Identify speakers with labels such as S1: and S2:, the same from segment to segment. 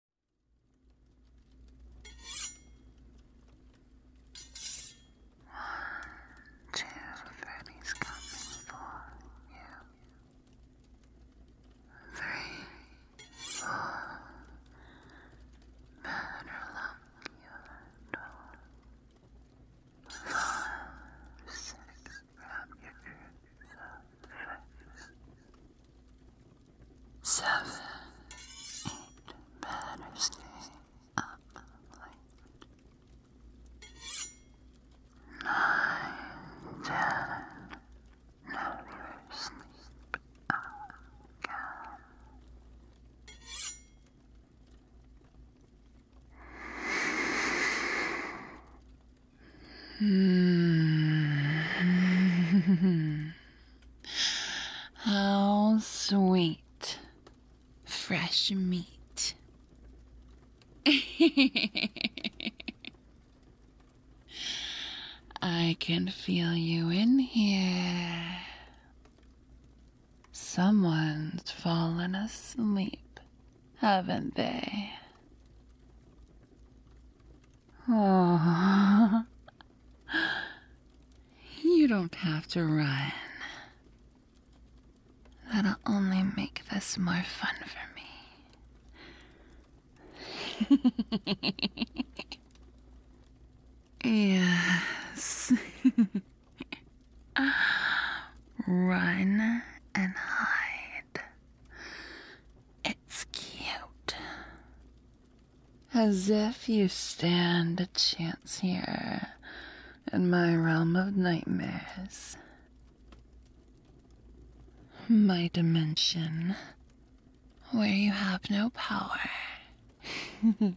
S1: Cheers with you. Three, four, matter love you and Five, six, wrap your ears up seven, eight better stay up late. Nine, ten, never sleep again. Hmm. How sweet. Fresh meat. I can feel you in here. Someone's fallen asleep, haven't they? Oh, you don't have to run. That'll only make this more fun for me. yes. Run and hide. It's cute. As if you stand a chance here in my realm of nightmares. My dimension, where you have no power,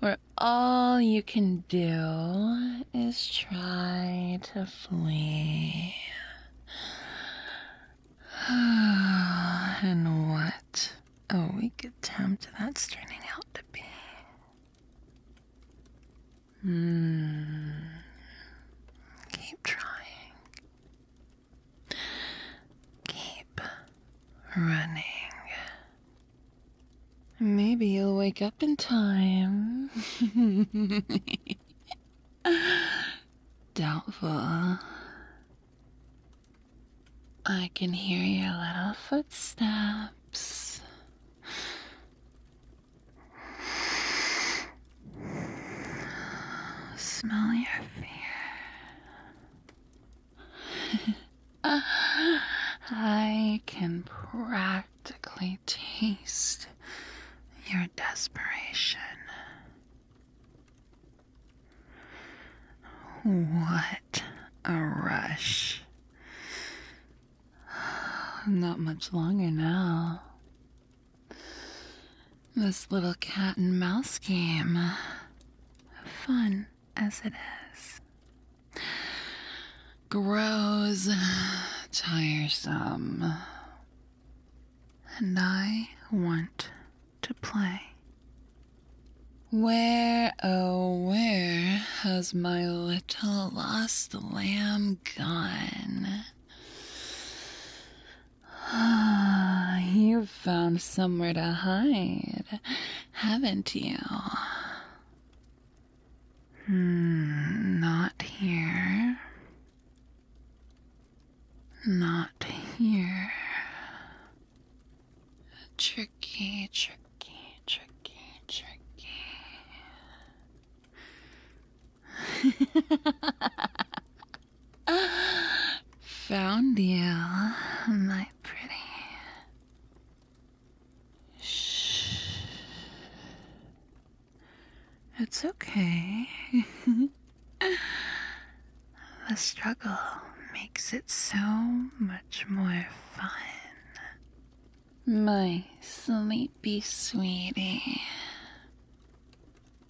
S1: where all you can do is try to flee. and what a weak attempt that's turning out to be. Hmm. Keep trying. Keep running. Maybe you'll wake up in time. Doubtful. I can hear your little footsteps. Smell your fear. I can practice practically taste your desperation. What a rush. Not much longer now. This little cat and mouse game, fun as it is, grows tiresome and I want to play. Where, oh, where has my little lost lamb gone? Ah, you've found somewhere to hide, haven't you? Hmm, not here. Not here. Tricky, tricky, tricky, tricky. Found you, my pretty. Shh. It's okay. the struggle makes it so much more fun. My sleepy sweetie.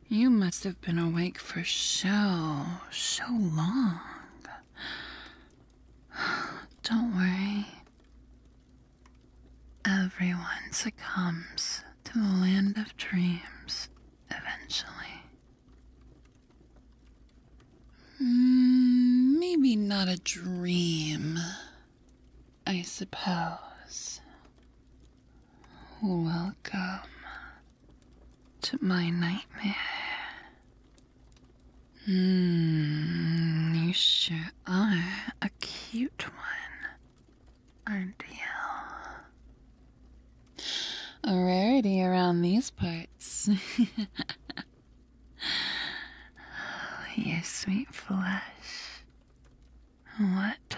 S1: You must have been awake for so, so long. Don't worry. Everyone succumbs to the land of dreams eventually. Mm, maybe not a dream, I suppose. Welcome to my nightmare. Mm, you sure are oh, a cute one, aren't you? A rarity around these parts. Yes, sweet flesh. What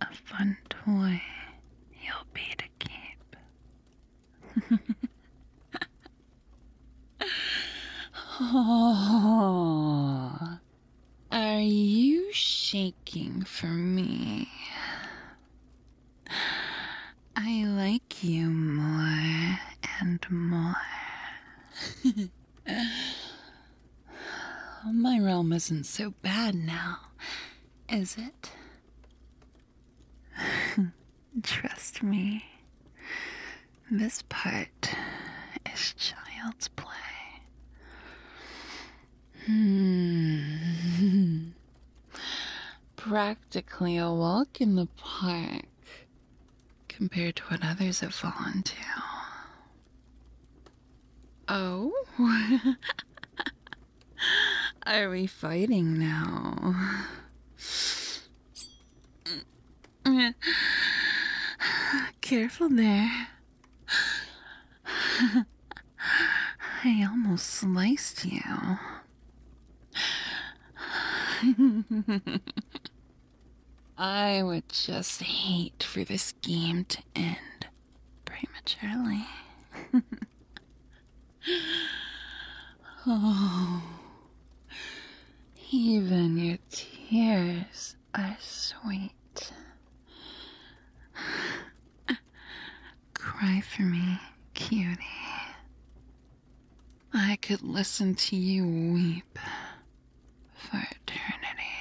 S1: a fun toy you'll be to keep. oh. Are you shaking for me? I like you more and more. My realm isn't so bad now, is it? Trust me, this part is child's play. Hmm. Practically a walk in the park compared to what others have fallen to. Oh? Are we fighting now? Careful there. I almost sliced you. I would just hate for this game to end prematurely. oh, even your tears these sweet. Cry for me, cutie. I could listen to you weep for eternity.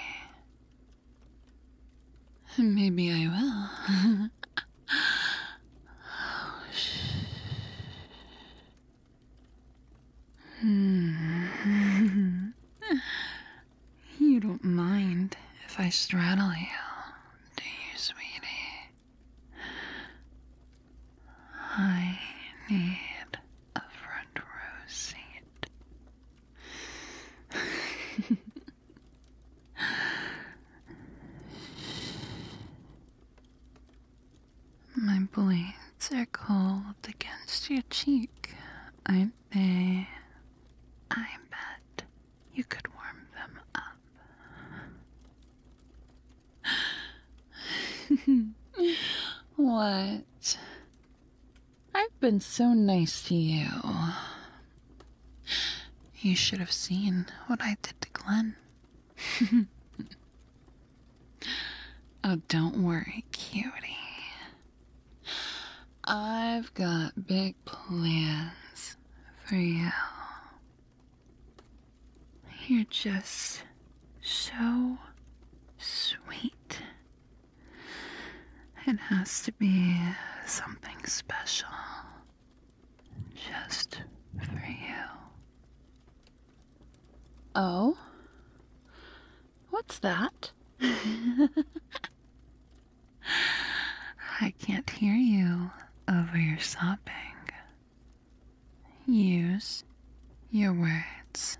S1: Maybe I will. oh, Hmm. you don't mind if I straddle you, do you, sweetie? I need a front row seat. My blades are cold against your cheek, aren't they? I bet you could warm them up. what? I've been so nice to you. You should have seen what I did to Glenn. Oh, don't worry, cutie. I've got big plans for you. You're just so sweet. It has to be something special just for you. Oh? What's that? I can't hear you over your sobbing. Use your words.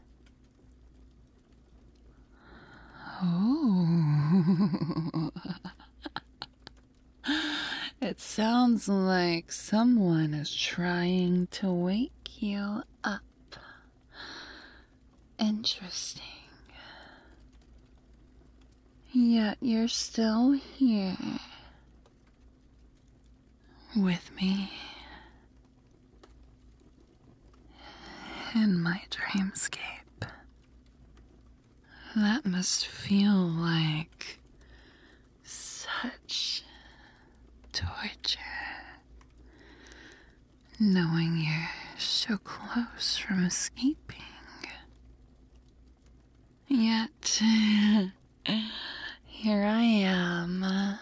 S1: Oh. it sounds like someone is trying to wake you up. Interesting. Yet you're still here with me in my dreamscape. That must feel like such torture knowing you're so close from escaping. Yet, here I am uh,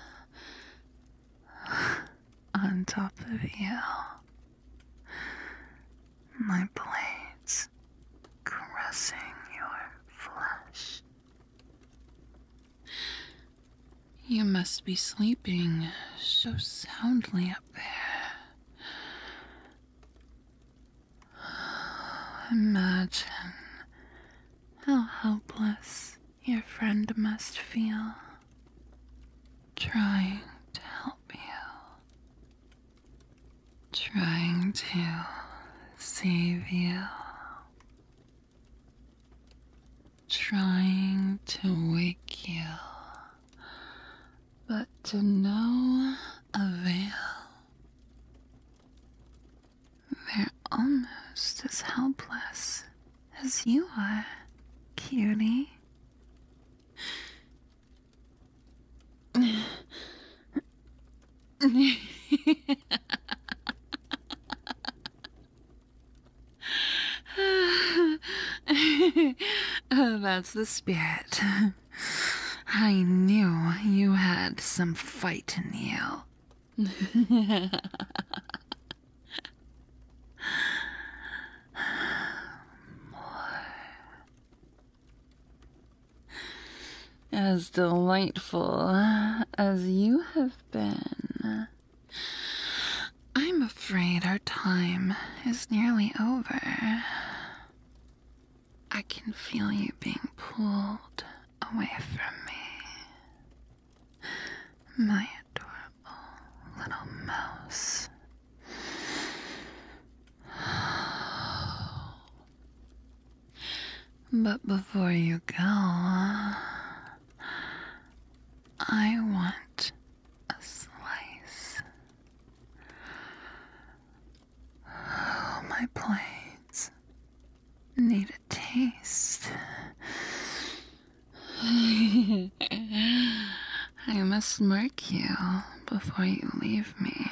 S1: on top of you. My blades caressing your flesh. You must be sleeping so soundly up there. Imagine how helpless your friend must feel trying to help you, trying to save you trying to wake you, but to no avail. They're almost as helpless as you are, cutie. Oh, that's the spirit. I knew you had some fight in you. More as delightful as you have been. I'm afraid our time is nearly over. I can feel you being pulled away from me. My adorable little mouse. But before you go, I want a slice. Oh, my plates need a taste. I must mark you before you leave me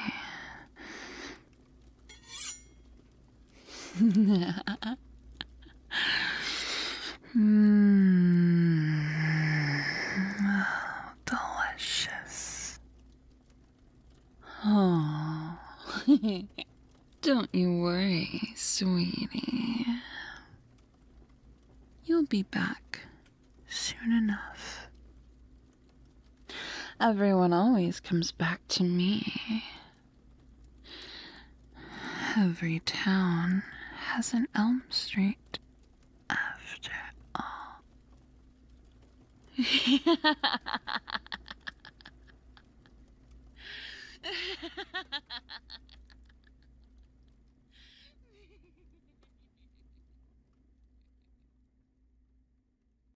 S1: delicious. Oh, don't you worry, sweetie. You'll be back soon enough. Everyone always comes back to me. Every town has an Elm Street, after all.